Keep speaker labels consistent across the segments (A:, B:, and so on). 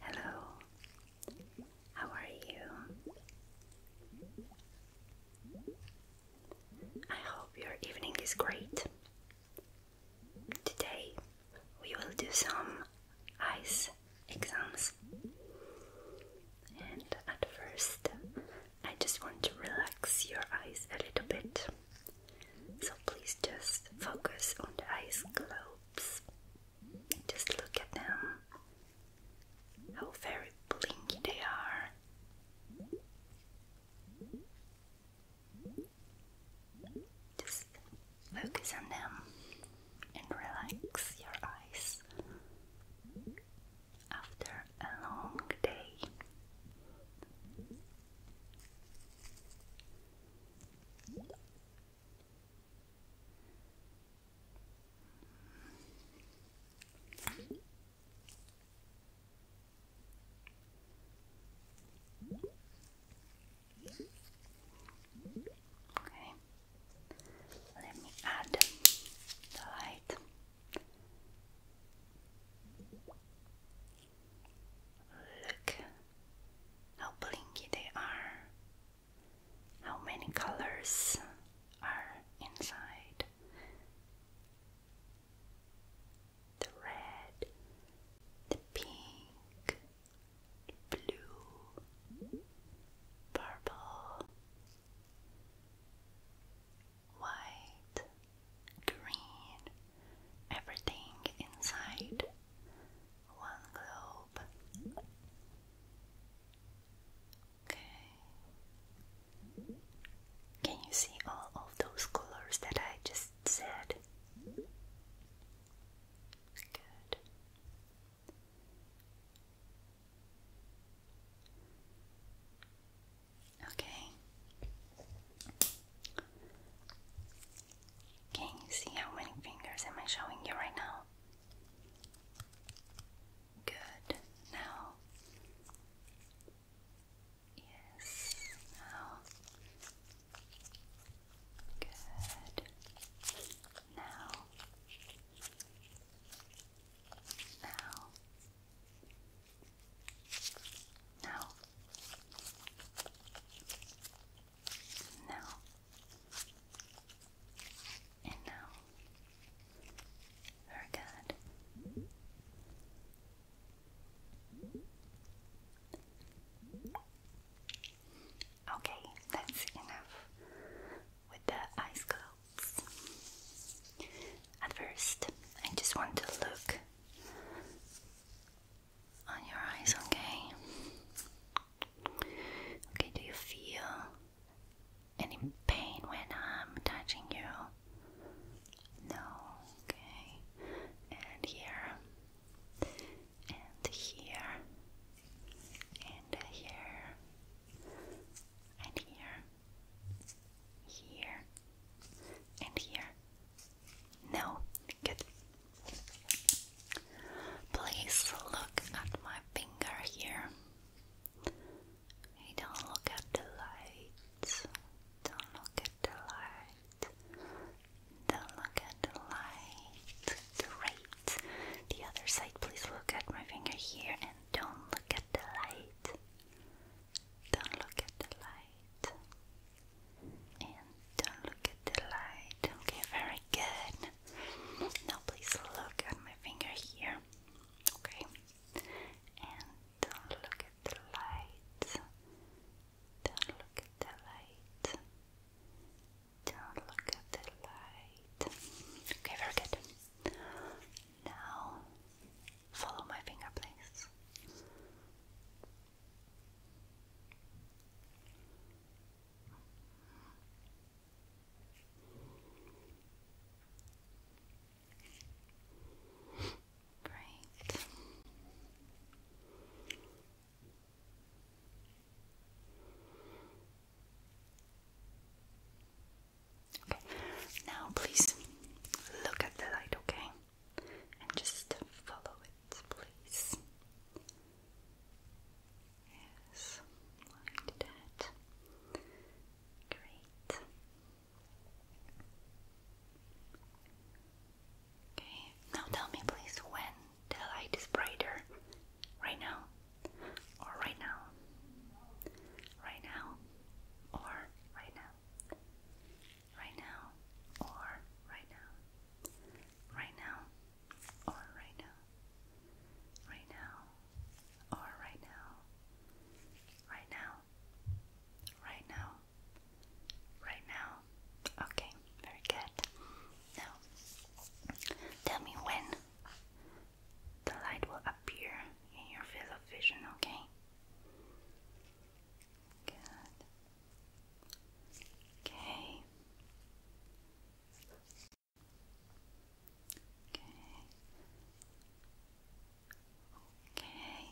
A: Hello, how are you? I hope your evening is great. Today we will do some ICE exams, and at first I just want to relax your eyes a little bit. So please just focus on the ice globes. Just look at them. How very blinky they are. Just focus on them and relax your eyes after a long day. Okay, let me add the light. Look how blinky they are, how many colors are inside the red, the pink, blue, purple, white, green, everything inside one globe. Okay. Can you see all of those colors that I just said? Good. Okay. Can you see how many fingers am I showing you right now? Good. Now. Yes. Now. Good. Now. Now. Now now, and Very good. Okay, that's enough with the eyes closed. At first, I just want to look on your eyes, okay? Okay, do you feel any pain when I'm touching you? No, okay. And here, and here, and here, and here, here, and here. No, good. Please look at my finger here. don't look at the light. Don't look at the light. Don't look at the light. Great. The other side, please look at my finger here don't look at the light. Don't look at the light. And don't look at the light. Okay, very good. Now please look at my finger here. Okay. And don't look at the light. Don't look at the light. Don't look at the light. Okay, very good. Now follow my finger, please. Right. Okay. Now please look at the light, okay? And just follow it, please. Yes, like that. Great. Okay, now tell me please when the light is brighter. Right now? Or right now? Right now? Or right now? Right now? Or right now? right now, or right now, right now, or right now, right now, right now, right now. Okay, very good. Now, tell me when the light will appear in your field of vision, okay? Okay. Okay. Okay.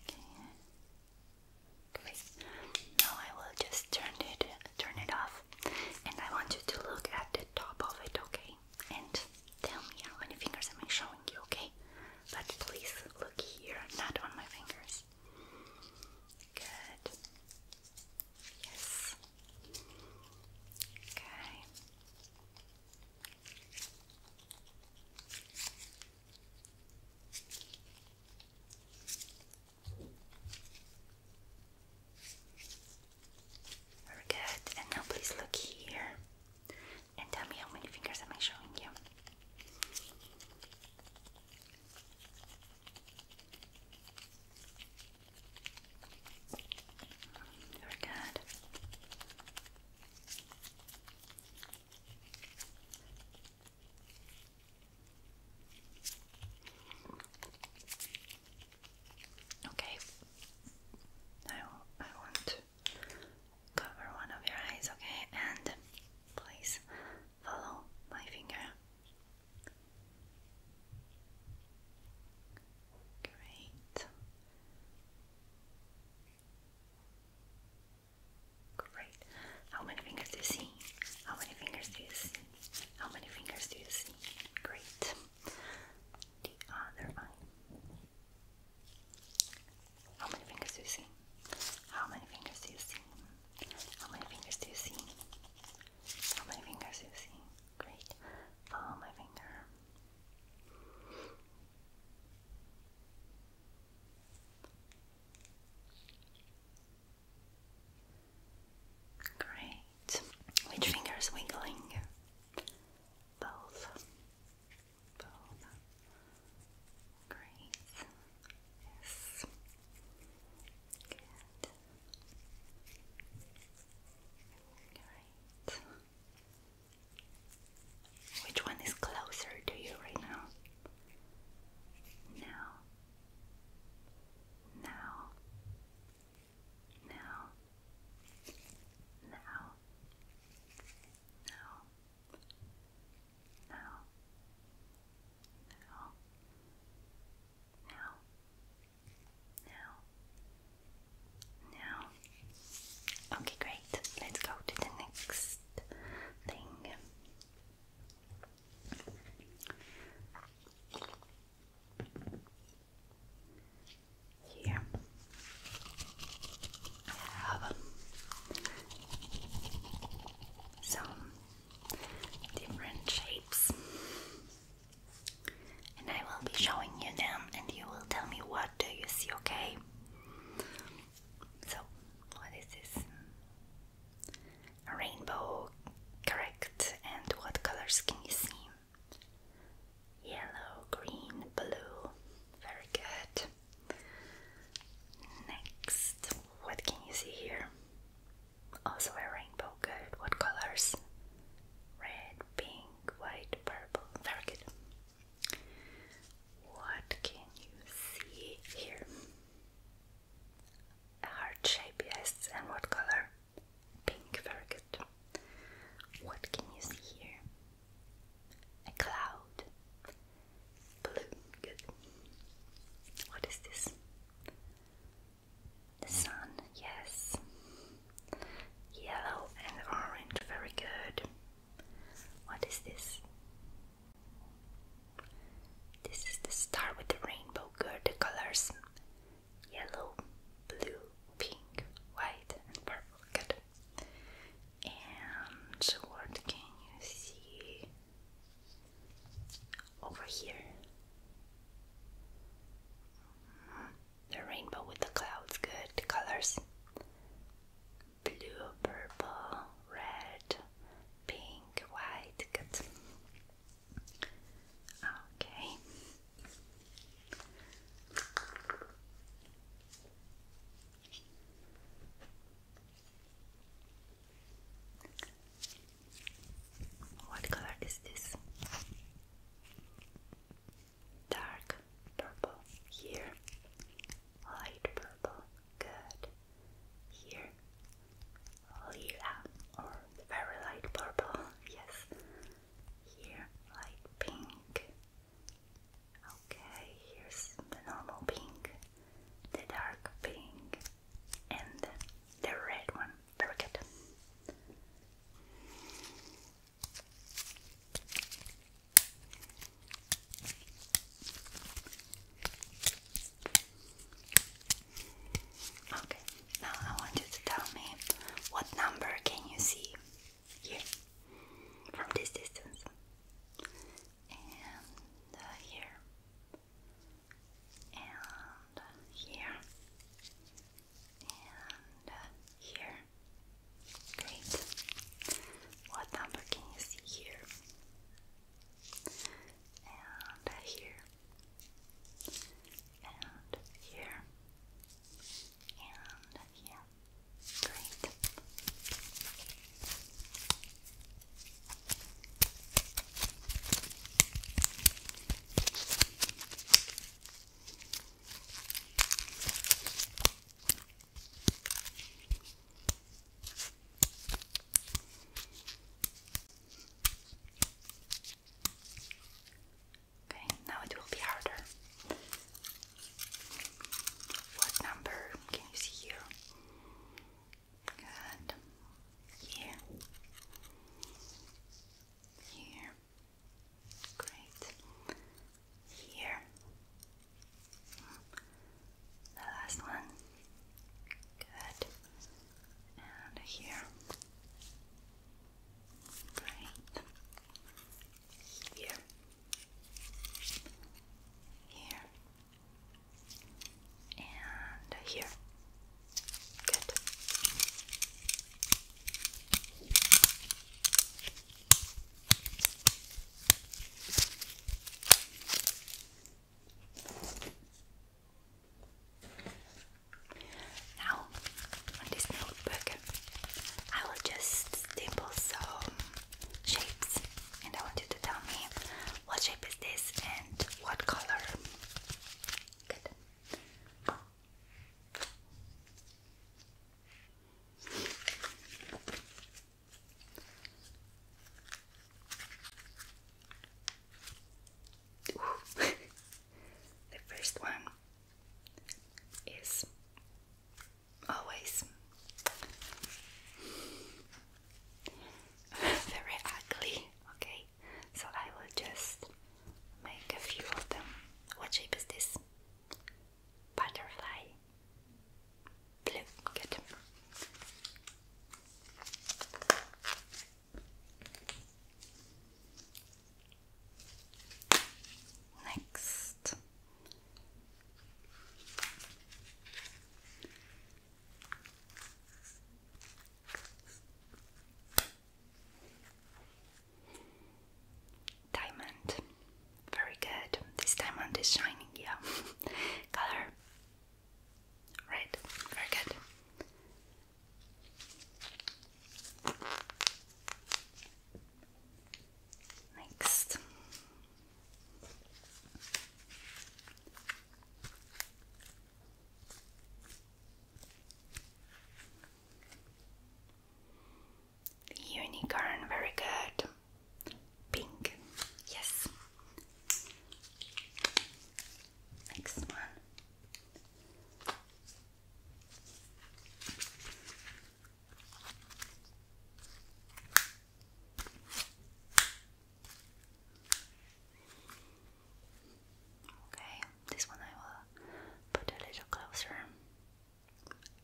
A: Okay. Now I will just turn it turn it off and I want you to look at the top of it, okay? And tell me how many fingers am showing you, okay? But please look here, not on my fingers. Yes. Good. Yes. Okay. Very good. And now please look here and tell me how many fingers am I showing you? Very good. Okay, now I want cover one of your eyes, okay, and please Follow my finger. Great. Great. How many fingers do you see? How many fingers do you see? How many fingers do you see? Great. The other eye. How many fingers do you see? How many fingers do you see? How many fingers do you see? fingers do Great. Follow my finger. Great. Which finger wiggling? Both. Both. Great. Yes. Right. Which one is closer to you right Now. Now. Now. Now. Now. Now. Now. Now. Now. Now. Okay, great. Let's go to the next thing. Here I have um, some different shapes. And I will be showing you them and you will tell me what do you see, okay? So, what is this? rainbow, correct. And what colors can you see? Yellow, green, blue. Very good. Next, what can you see here? Also a rainbow good. What colors? Red, pink, white, purple. Very good. What can you see here? A heart shape, yes. And what color? Pink, very good. What can you see here? A cloud. Blue, good. What is this? The sun, yes. Yellow and orange, very good. What is this? This is the star with the rainbow, good. The colors yellow, blue, pink, white, and purple, good. And what can you see? Over here. The rainbow with the clouds, good colors. Blue, purple, red, pink, white, good. Okay. What color is this? Dark purple here, light purple, good. Here, lila or very light purple, yes. Here, light pink. Okay, here's the normal pink, the dark pink, and the red one. Very good. Okay, now I want you to tell me what number can you see here from this distance and uh, here and here, and here. Great. What number can you see here? And here, and here, and here. Great. Okay, now it will be harder. What number can you see here? Good. Here. Here. Great. Here. The last one. Good. And here. Great. Here. Here and here. Good. Now, on this notebook, I will just staple some shapes and I want to tell me what shape is this and what color. Good. the first one is always very ugly, okay? So I will just make a few of them. What shape is this? Butterfly. Blue, good. Next, Diamond. Very good. This diamond is shining, yeah. Color red. Very good. Next, Unicorn, very good. Pink, yes. Next one. Okay, this one I will put a little closer.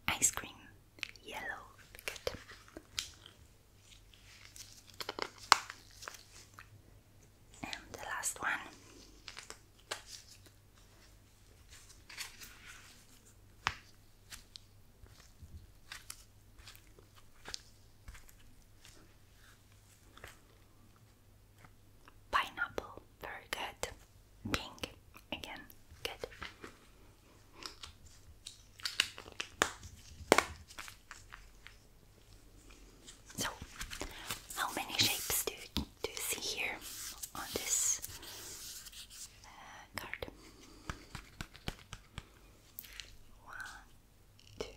A: Ice cream, yellow, good. And the last one. Pineapple, very good. Pink, again, good. So, how many shapes do you, do you see here on this uh, card? One, two,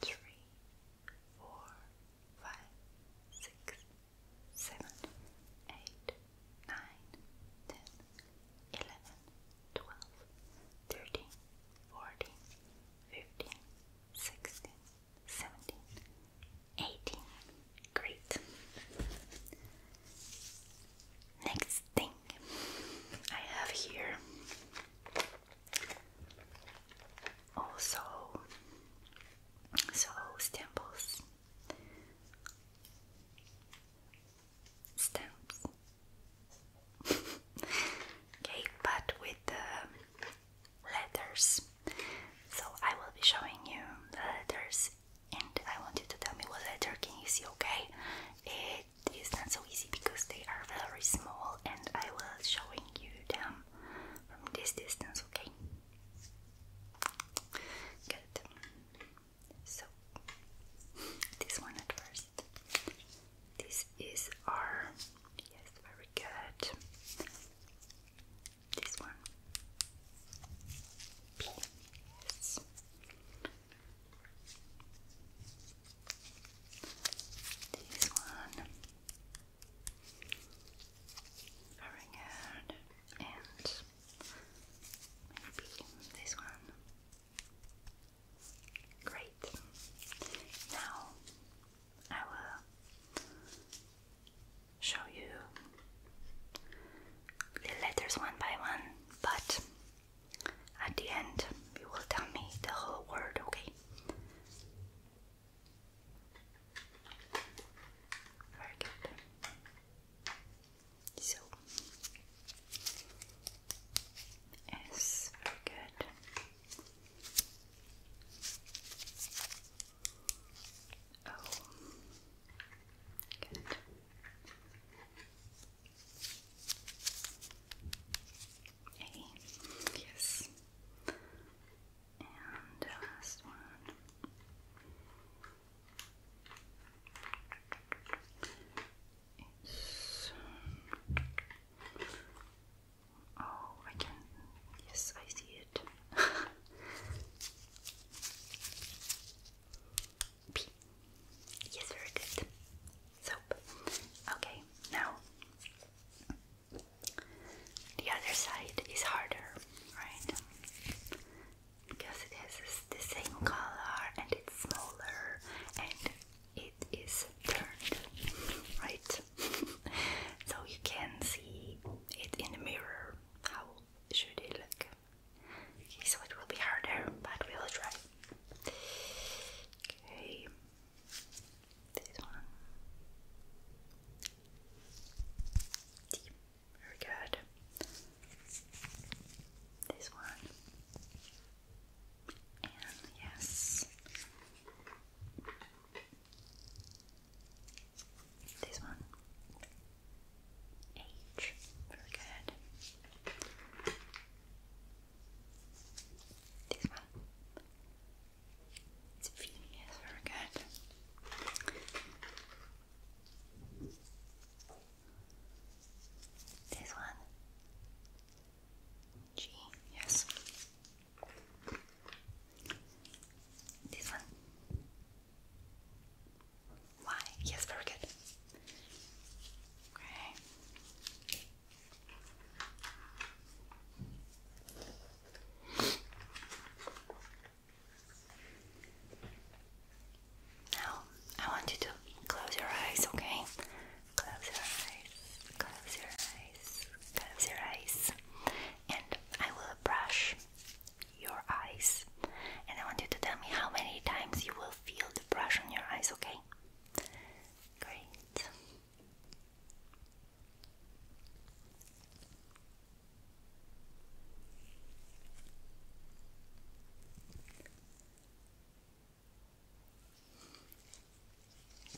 A: three, four, five, six, seven, eight, nine, ten, eleven, twelve, thirteen, fourteen, fifteen, sixteen, seventeen, eighteen. Great. Next thing I have here also so stamps stamps okay but with letters so I will be showing you the letters and I want you to tell me what letter can you see okay it is not so easy because they are very small and I will showing you them from this distance, okay? Good. So this one at first. This is our yes, very good. This one. Yes. This one very good, and maybe this one. Great. Now I will show you the letters one by one, but at the end, you will tell me the whole word, okay? Very good. So, yes, very good. Oh, good. A. Yes. And the uh, last one. It's, oh, I can. Yes, I see it. P. Yes, very good soap. Okay, now the other side is harder, right? Because it has the same color and it's smaller and it is turned, right? so you can see it in the mirror. How should it look? Okay, so it will be harder, but we will try. Okay, this one. Very good. This one. And yes. This one. H. Very good. This one. It's very good. This one. G, yes. This one. Y, yes, very good. Okay. Now, I want you to close your eyes, okay? Close your eyes, close your eyes, close your eyes, and I will brush your eyes. And I want you to tell me how many times you will feel the brush on your eyes, okay? Great.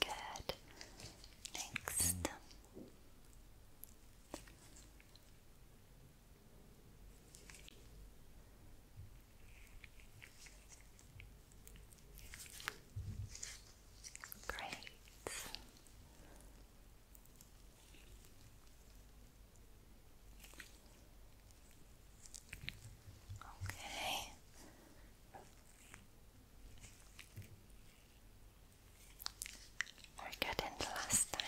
A: Good. Next. Great. Okay. We're good the last time.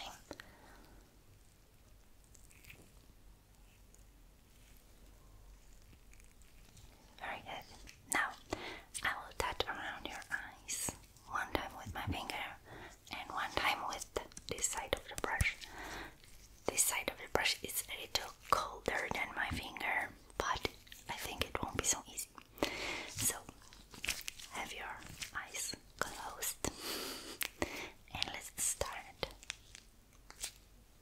A: Very good. Now, I will touch around your eyes one time with my finger and one time with this side of the brush. This side of the brush is a little colder than my finger, but I think it won't be so easy. So, have your eyes closed and let's start.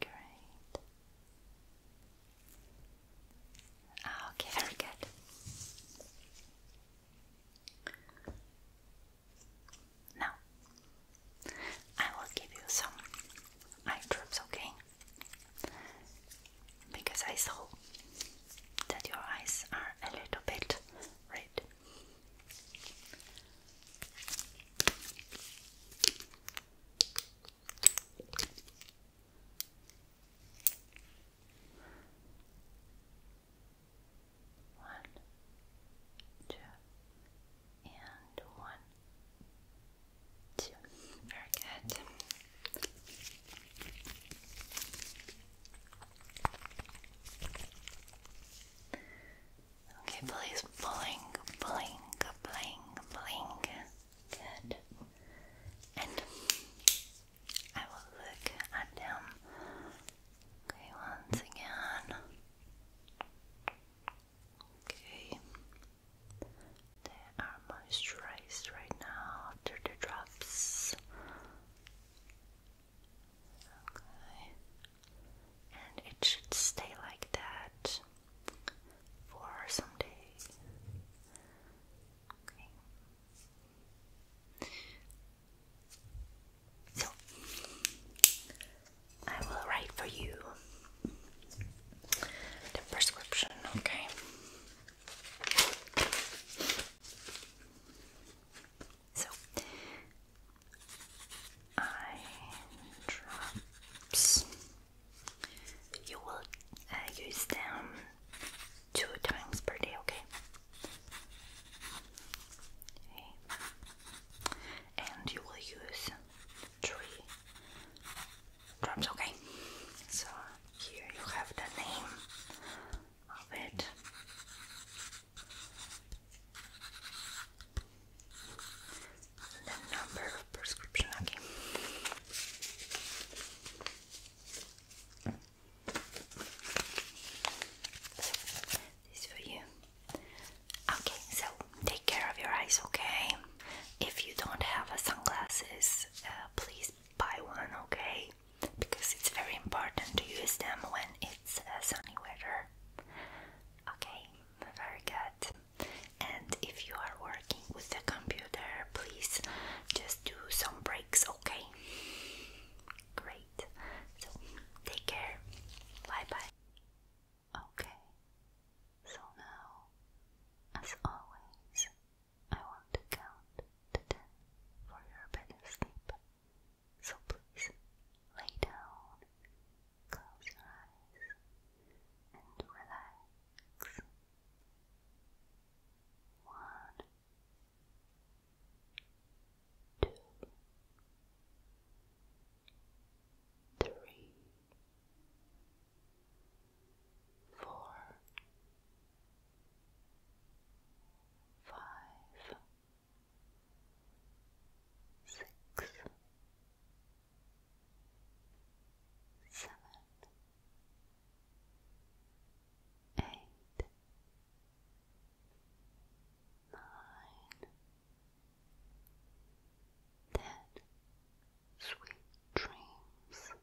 A: Great. okay, very good. Now, I will give you some eye drops, okay? because I saw that your eyes are a little bit red. One, two, and one, two. Very good. Okay, please blink, blink, blink, blink. Good. And I will look at them. Okay, once again. Okay. They are moisturized right now after the drops. Okay. And it should stay like that for some days. Okay. So, I will write for you the prescription, okay? So eye drops. You will uh, use them two times per day, okay? okay. And you will use three drops, okay? So here you have the name of it. The number of prescription, okay. So, this for you. Okay, so take care of your eyes, okay? If you don't have a sunglasses, uh, please buy one, okay? Because it's very important to use them when it's uh, sunny weather. Okay, very good. And if you are working with the computer, please just do some breaks, okay? Great. So, take care. Bye bye. Okay, so now, as always, I want to count to ten for your better sleep. So please lay down, close your eyes, and relax. One, two, three, four, five, six, seven, eight, nine, ten. Sweet dreams.